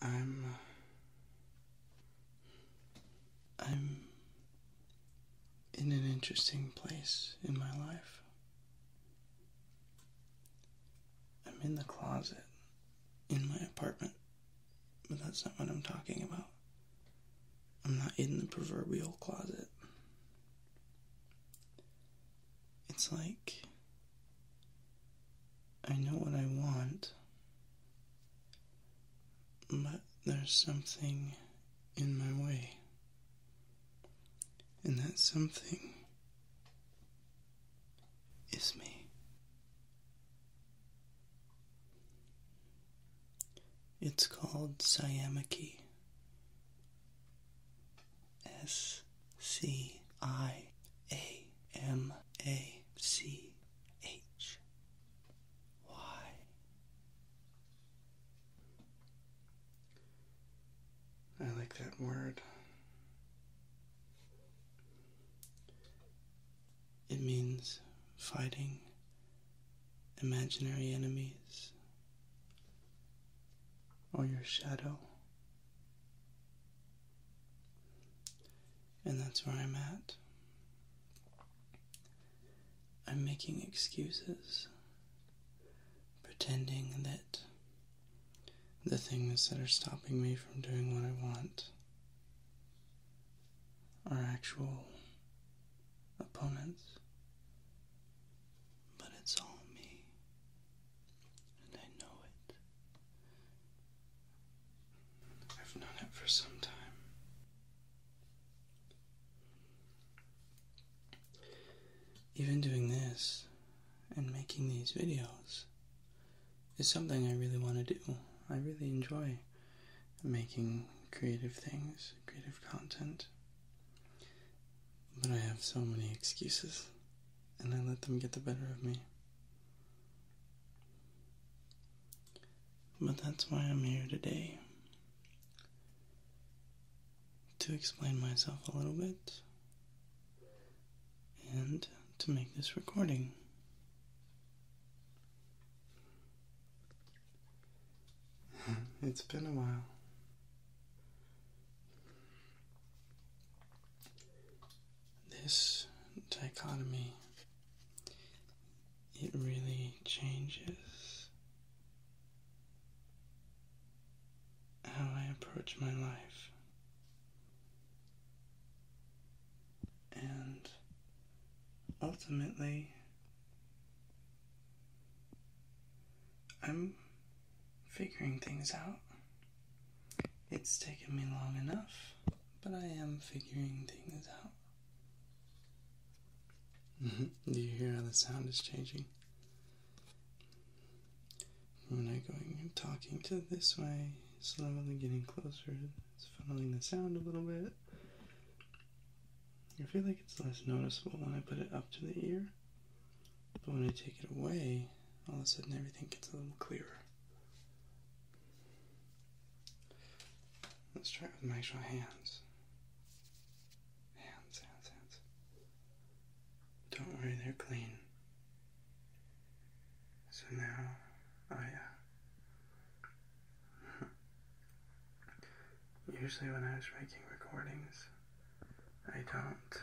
I'm. I'm in an interesting place in my life. I'm in the closet in my apartment, but that's not what I'm talking about. I'm not in the proverbial closet. It's like I know what I want, but there's something in my way. And that something is me. It's called Siamaki. S C I A M A C H Y. I like that word. It means fighting imaginary enemies or your shadow and that's where I'm at. I'm making excuses, pretending that the things that are stopping me from doing what I want are actual opponents, but it's all me and I know it. I've known it for some time. Even doing this and making these videos is something I really want to do. I really enjoy making creative things, creative content. But I have so many excuses, and I let them get the better of me. But that's why I'm here today. To explain myself a little bit and to make this recording. it's been a while this dichotomy, it really changes how I approach my life. And ultimately, I'm figuring things out. It's taken me long enough, but I am figuring things out. Mm-hmm. Do you hear how the sound is changing? When I going and talking to this way, slowly getting closer, it's funneling the sound a little bit. I feel like it's less noticeable when I put it up to the ear, but when I take it away, all of a sudden everything gets a little clearer. Let's try it with my actual hands. Hands, hands, hands. Don't worry, they're clean. So now, oh Usually, when I was making recordings, I don't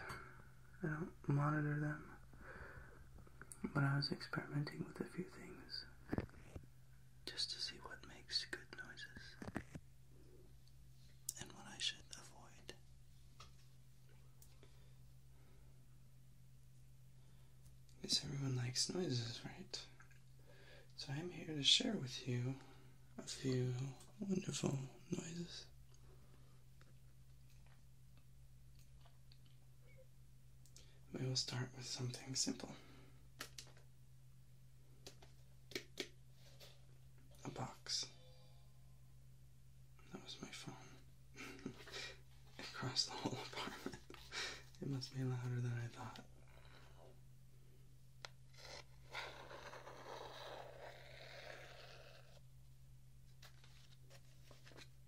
I don't monitor them. But I was experimenting with a few things just to see what makes good noises and what I should avoid. Because everyone likes noises, right? So I'm here to share with you a few wonderful noises. We will start with something simple a box. That was my phone. it the whole apartment. It must be louder than I thought.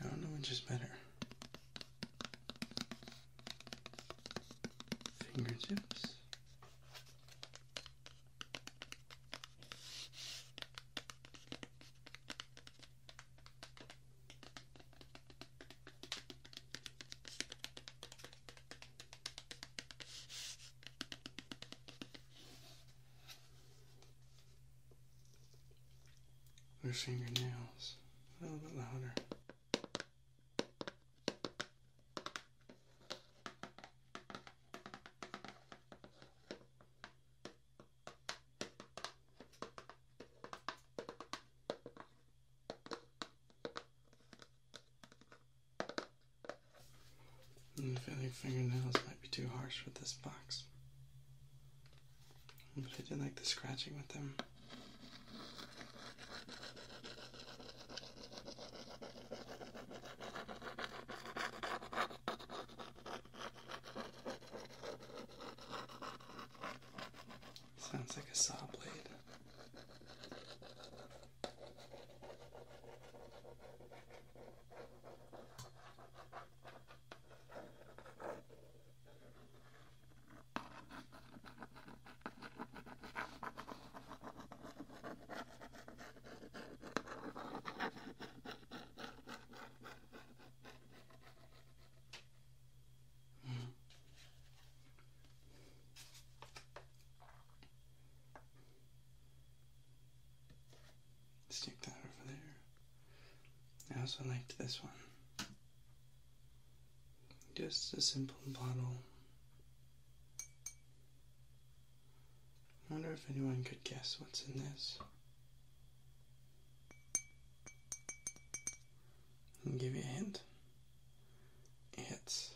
I don't know which is better. Fingertips. Loosening your nails a little bit louder. And mm, I feel like fingernails might be too harsh for this box. But I did like the scratching with them. Sounds like a saw blade. Stick that over there. I also liked this one. Just a simple bottle. wonder if anyone could guess what's in this give you a hint. It's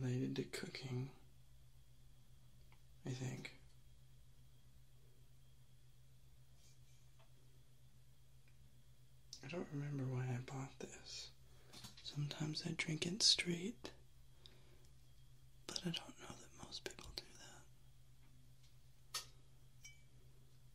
related to cooking, I think. I don't remember why I bought this. Sometimes I drink it straight, but I don't know that most people do that.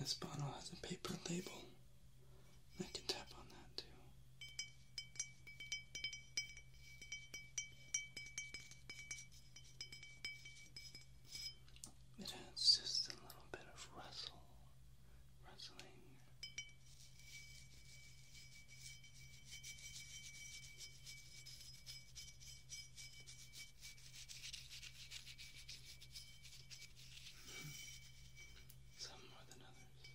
This bottle has a paper label. I can tap on that too. It's just a little bit of rustle, rustling. Hmm. Some more than others.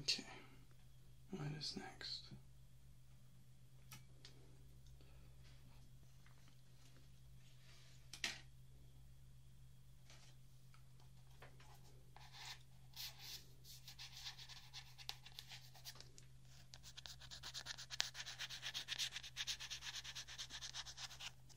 Okay, what is next?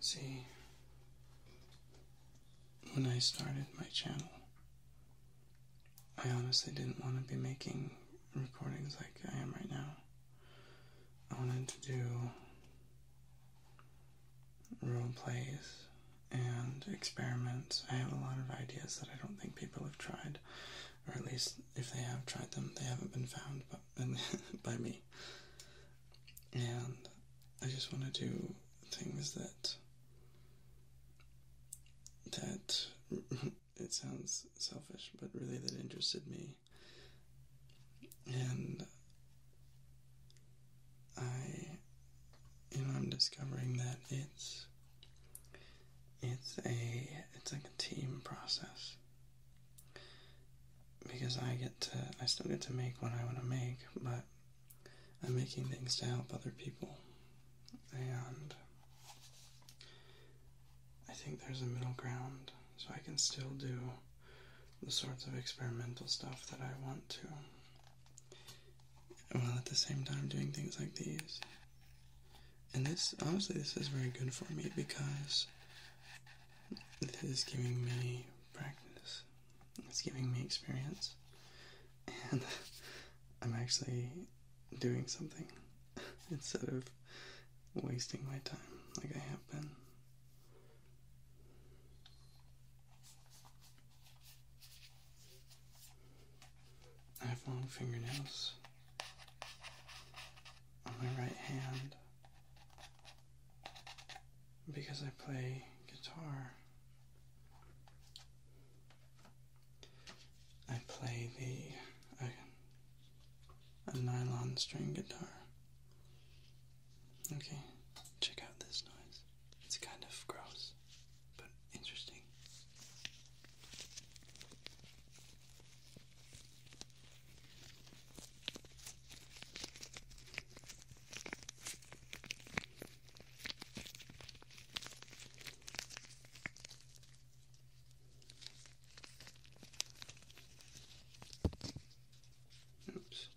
See, when I started my channel, I honestly didn't want to be making recordings like I am right now. I wanted to do role plays and experiments. I have a lot of ideas that I don't think people have tried, or at least if they have tried them, they haven't been found by, by me. And I just want to do things that that it sounds selfish, but really that interested me and I you I'm discovering that it's it's a it's like a team process because I get to I still get to make what I want to make but I'm making things to help other people and I think there's a middle ground so I can still do the sorts of experimental stuff that I want to, while at the same time doing things like these. And this, honestly, this is very good for me because it is giving me practice, it's giving me experience, and I'm actually doing something instead of wasting my time like I have been. I have long fingernails on my right hand because I play guitar. I play the a, nylon string guitar Okay, check out this noise. It's kind of gross, but interesting. Oops.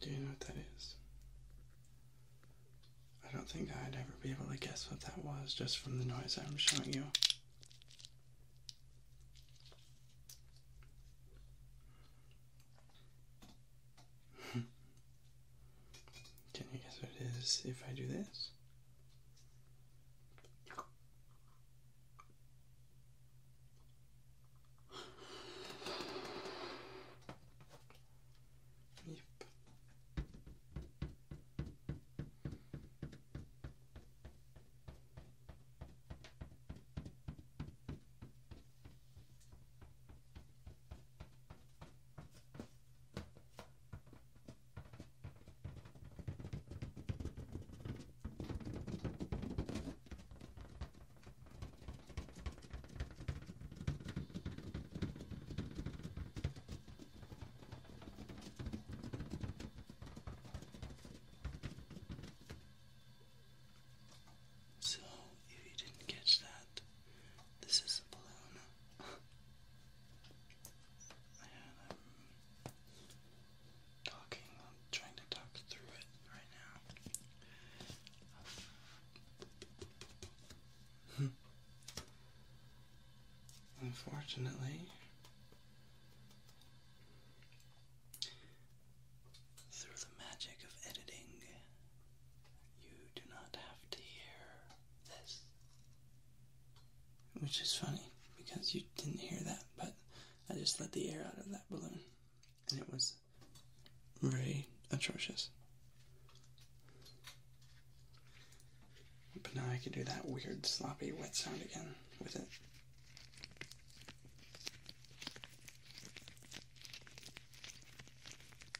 Do you know what that is? I don't think I'd ever be able to guess what that was just from the noise I'm showing you. Can you guess what it is if I do this? Yep. So, if you didn't catch that, this is a balloon. I'm talking, trying to talk through it right now. Unfortunately, through the magic of editing, you do not have to hear this. Which is funny because you didn't hear that, but I just let the air out of that balloon and it was very atrocious. But now I can do that weird sloppy wet sound again with it.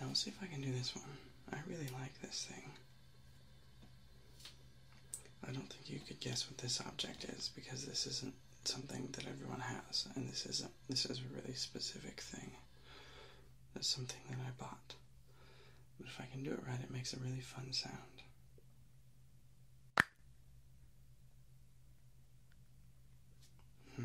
Now let's see if I can do this one. I really like this thing. I don't think you could guess what this object is because this isn't something that everyone has, and this isn't. This is a really specific thing. It's something that I bought. But if I can do it right, it makes a really fun sound. Hmm.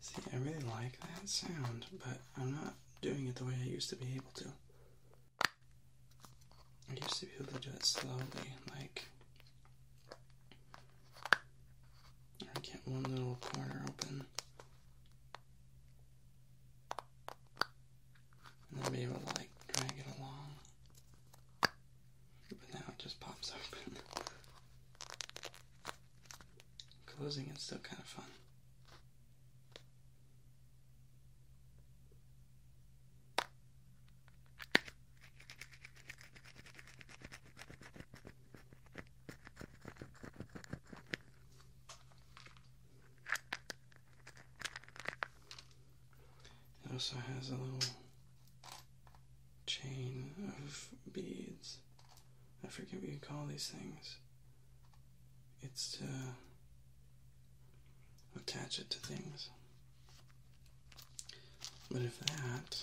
See, I really like that sound, but I'm not doing it the way I used to be able to. I used to be able to do it slowly, like I get one little corner open. And then be able to like drag it along. But now it just pops open. Closing is still kind of fun. It also has a little chain of beads I forget what you call these things. It's to attach it to things. But if that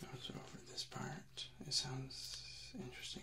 goes over this part, it sounds interesting.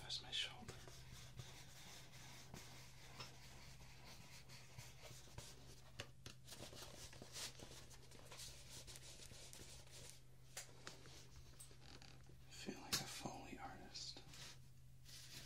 That's my shoulder. Feel like a Foley artist.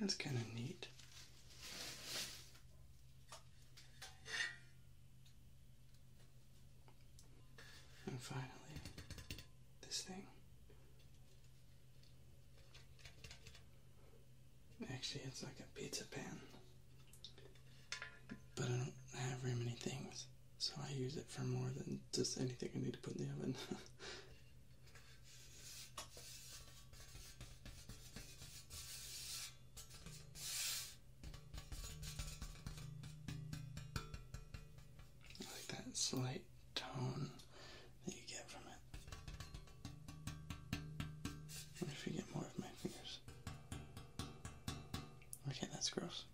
That's kind of neat. And finally, this thing. Actually, it's like a pizza pan, but I don't have very many things so I use it for more than just anything I need to put in the oven. like that slight tone that you get from it. What if you more of my fingers? Okay, that's gross.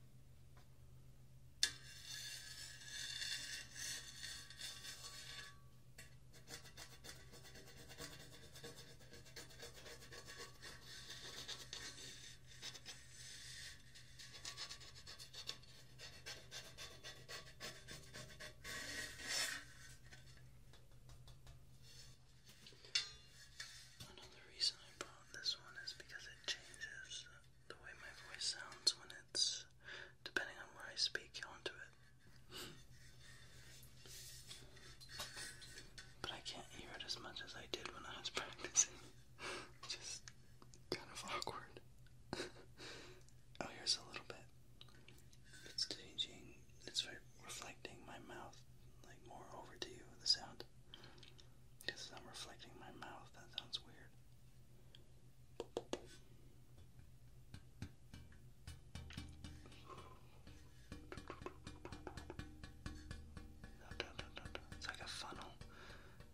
Another reason I bought this one is because it changes the way my voice sounds when it's depending on where I speak onto it. but I can't hear it as much as I did when I was practicing. It's just kind of awkward. oh, here's a little bit. It's changing, it's reflecting my mouth, like more over to you, the sound. Because I'm reflecting my mouth, that sounds weird. It's like a funnel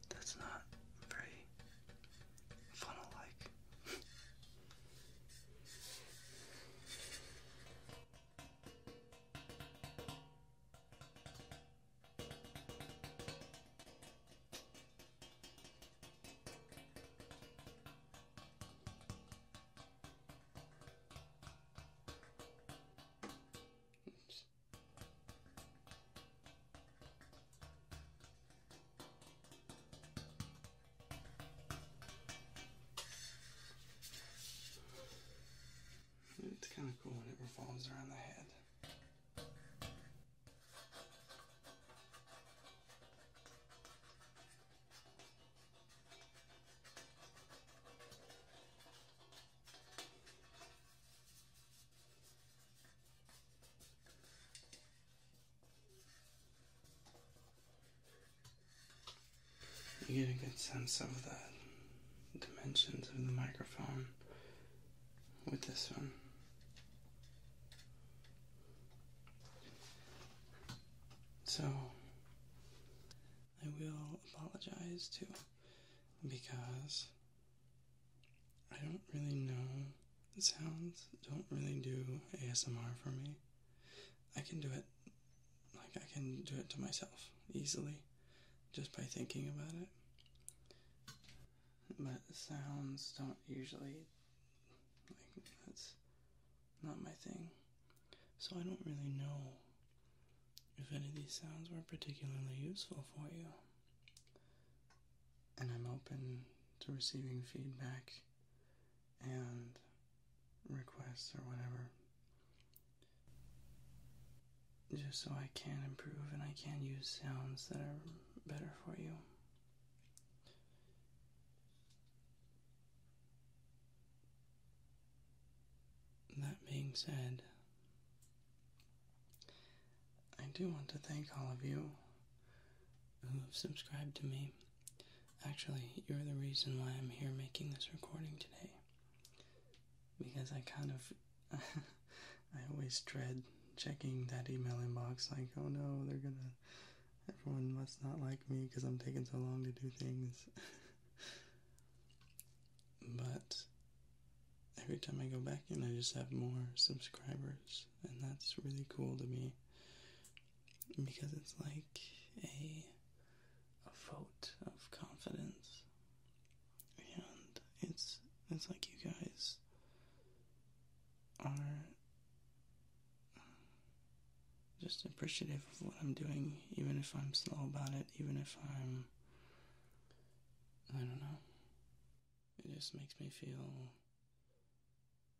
that's not very funnel like. It's kind of cool when it revolves around the head. You get a good sense of the dimensions of the microphone with this one. So I will apologize too because I don't really know sounds don't really do ASMR for me. I can do it like I can do it to myself easily just by thinking about it but sounds don't usually like that's not my thing. So I don't really know if any of these sounds were particularly useful for you. And I'm open to receiving feedback and requests or whatever. Just so I can improve and I can use sounds that are better for you. That being said, I do want to thank all of you who have subscribed to me. Actually, you're the reason why I'm here making this recording today. Because I kind of I always dread checking that email inbox like, oh no, they're gonna, everyone must not like me because I'm taking so long to do things. but every time I go back in, I just have more subscribers, and that's really cool to me because it's like a a vote of confidence and it's it's like you guys just appreciative of what I'm doing, even if I'm slow about it, even if I'm. I don't know. It just makes me feel.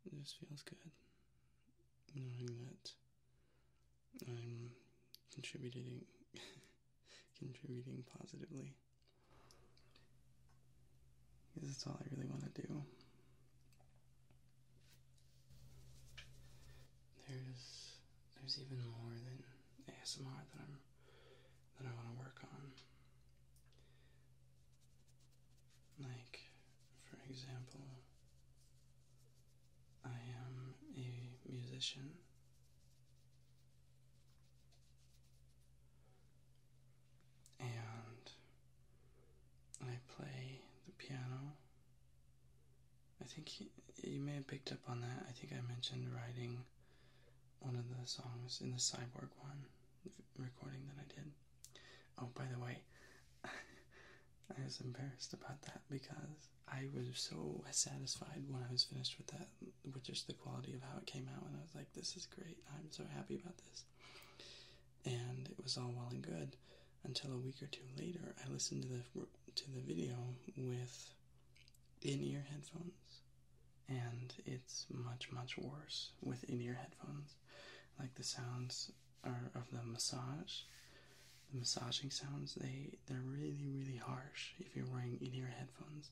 It just feels good knowing that I'm contributing contributing positively this is all I really want to do. There's there's even more than ASMR that I'm that I want to work on. Like, for example, I am a musician and I play the piano. I think you may have picked up on that. I think I mentioned writing one of the songs in the Cyborg one recording that I did. Oh, by the way, I was embarrassed about that because I was so satisfied when I was finished with that, with just the quality of how it came out, and I was like this is great. I'm so happy about this. And it was all well and good until a week or two later. I listened to the to the video with in-ear headphones, and it's much much worse with in-ear headphones. Like the sounds are of the massage, the massaging sounds. They they're really really harsh if you're wearing in-ear headphones.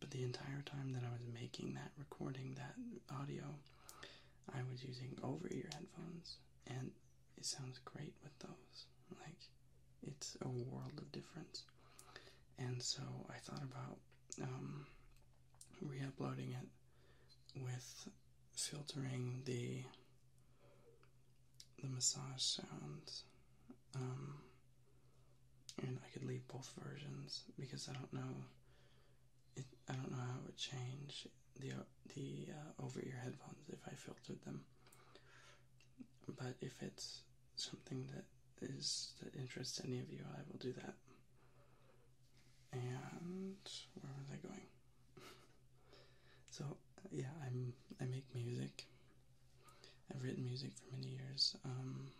But the entire time that I was making that, recording that audio, I was using over ear headphones, and it sounds great with those. Like, it's a world of difference. And so I thought about um, re uploading it with filtering the the massage sounds um, and I could leave both versions because I don't know. I don't know how it would change the uh, the uh, over ear headphones if I filtered them. But if it's something that is that interests any of you, I will do that. And where was I going? so uh, yeah, I'm I make music. I've written music for many years. Um,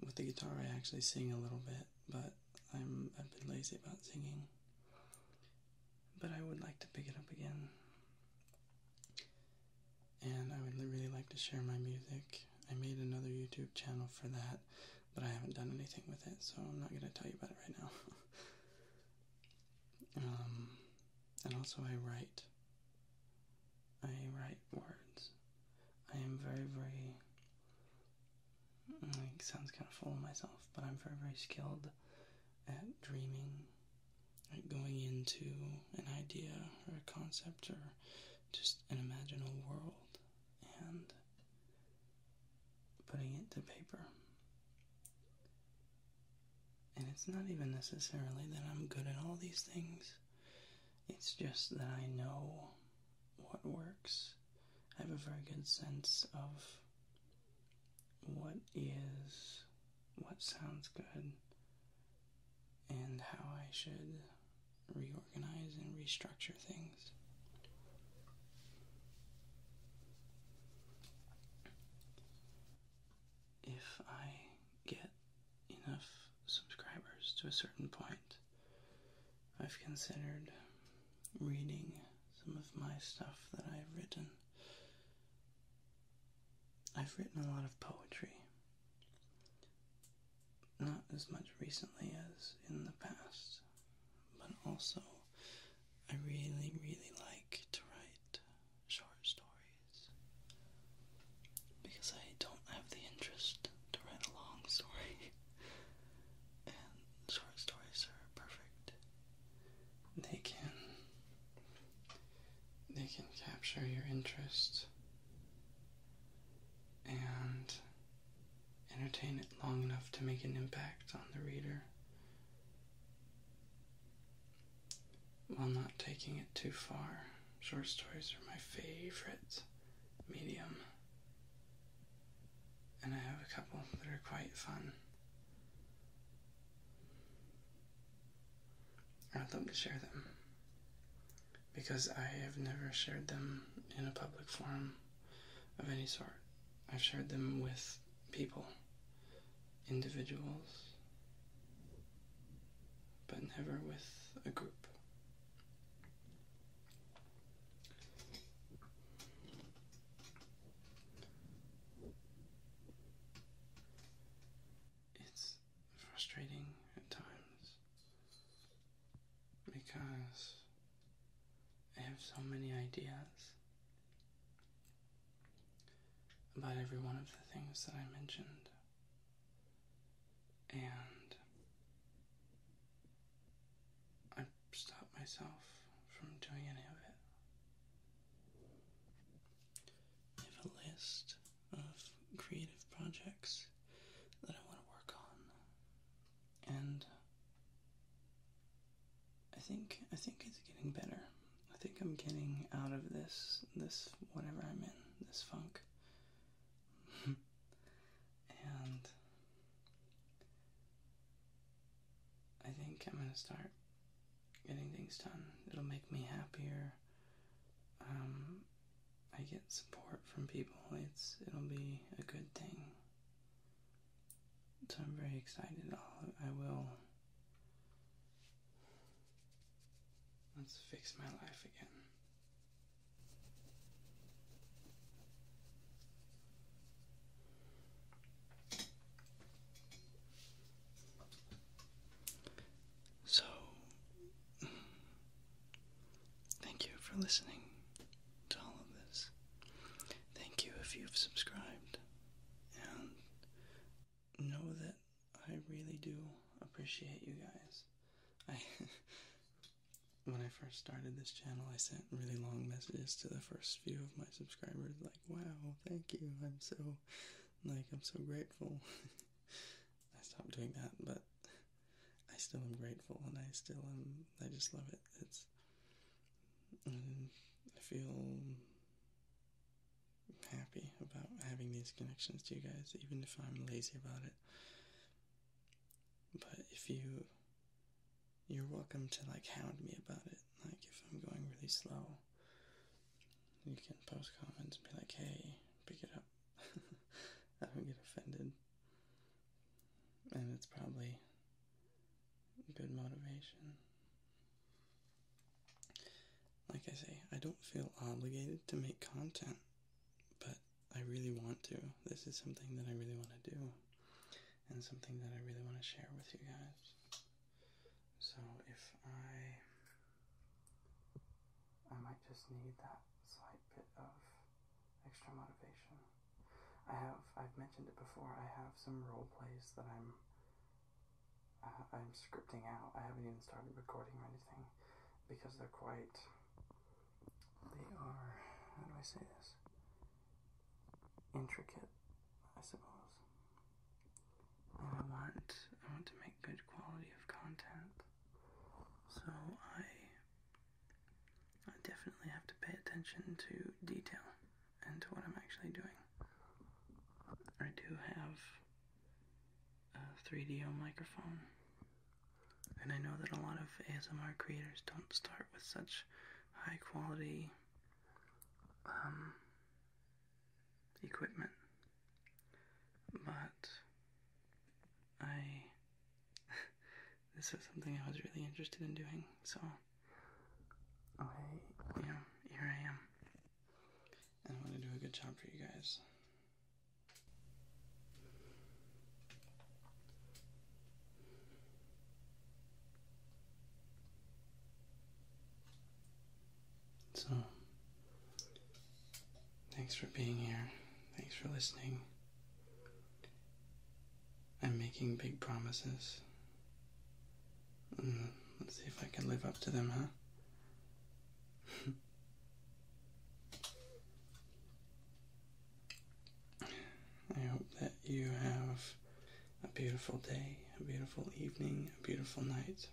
with the guitar, I actually sing a little bit, but I'm a bit lazy about singing. But I would like to pick it up again, and I would really like to share my music. I made another YouTube channel for that, but I haven't done anything with it, so I'm not going to tell you about it right now. Um, and also, I write. I write words. I am very, very. Mm, it sounds kind of full of myself, but I'm very, very skilled at dreaming, at going into an idea or a concept or just an imaginal world and putting it to paper. And it's not even necessarily that I'm good at all these things, it's just that I know what works. I have a very good sense of what is, what sounds good, and how I should reorganize and restructure things. If I get enough subscribers to a certain point, I've considered reading some of my stuff that I've written. I've written a lot of poetry. Not as much recently as in the past, but also I really, really like to write short stories because I don't have the interest to write a long story, and short stories are perfect. They can they can capture your interest and entertain it long enough to make an impact on the reader while not taking it too far. Short stories are my favorite medium and I have a couple that are quite fun. I'd love to share them because I have never shared them in a public forum of any sort. I've shared them with people, individuals, but never with a group. It's frustrating at times because I have so many ideas about every one of the things that I mentioned and I stop myself from doing any of it. I have a list of creative projects that I want to work on, and I think I think it's getting better. I think I'm getting out of this this whatever I'm in this funk. and I think I'm gonna start getting things done. It'll make me happier. Um, I get support from people. It's it'll be a good thing. So I'm very excited. I'll, I will. Let's fix my life again. So, thank you for listening to all of this. Thank you if you've subscribed, and know that I really do appreciate you guys. I when I first started this channel, I sent really long messages to the first few of my subscribers, like, wow, thank you, I'm so, like, I'm so grateful. I stopped doing that, but I still am grateful, and I still am, I just love it. It's, um, I feel happy about having these connections to you guys, even if I'm lazy about it. But if you you're welcome to like hound me about it. Like if I'm going really slow, you can post comments and be like, "Hey, pick it up." I don't get offended, and it's probably good motivation. Like I say, I don't feel obligated to make content, but I really want to. This is something that I really want to do and something that I really want to share with you guys. So if I I might just need that slight bit of extra motivation. I have I've mentioned it before. I have some role plays that I'm uh, I'm scripting out. I haven't even started recording or anything because they're quite they are, how do I say this? Intricate, I suppose. I want, I want to make good quality of content. So I, I definitely have to pay attention to detail and to what I'm actually doing. I do have a 3DO microphone and I know that a lot of ASMR creators don't start with such high quality um, equipment, but I. this is something I was really interested in doing, so I, you know, here I am. And I want to do a good job for you guys. So, thanks for being here. Thanks for listening. I'm making big promises. Mm, let's see if I can live up to them, huh? I hope that you have a beautiful day, a beautiful evening, a beautiful night.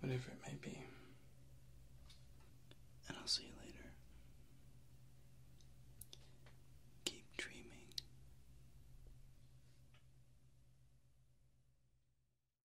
Whatever it may be. And I'll see you later. Keep dreaming.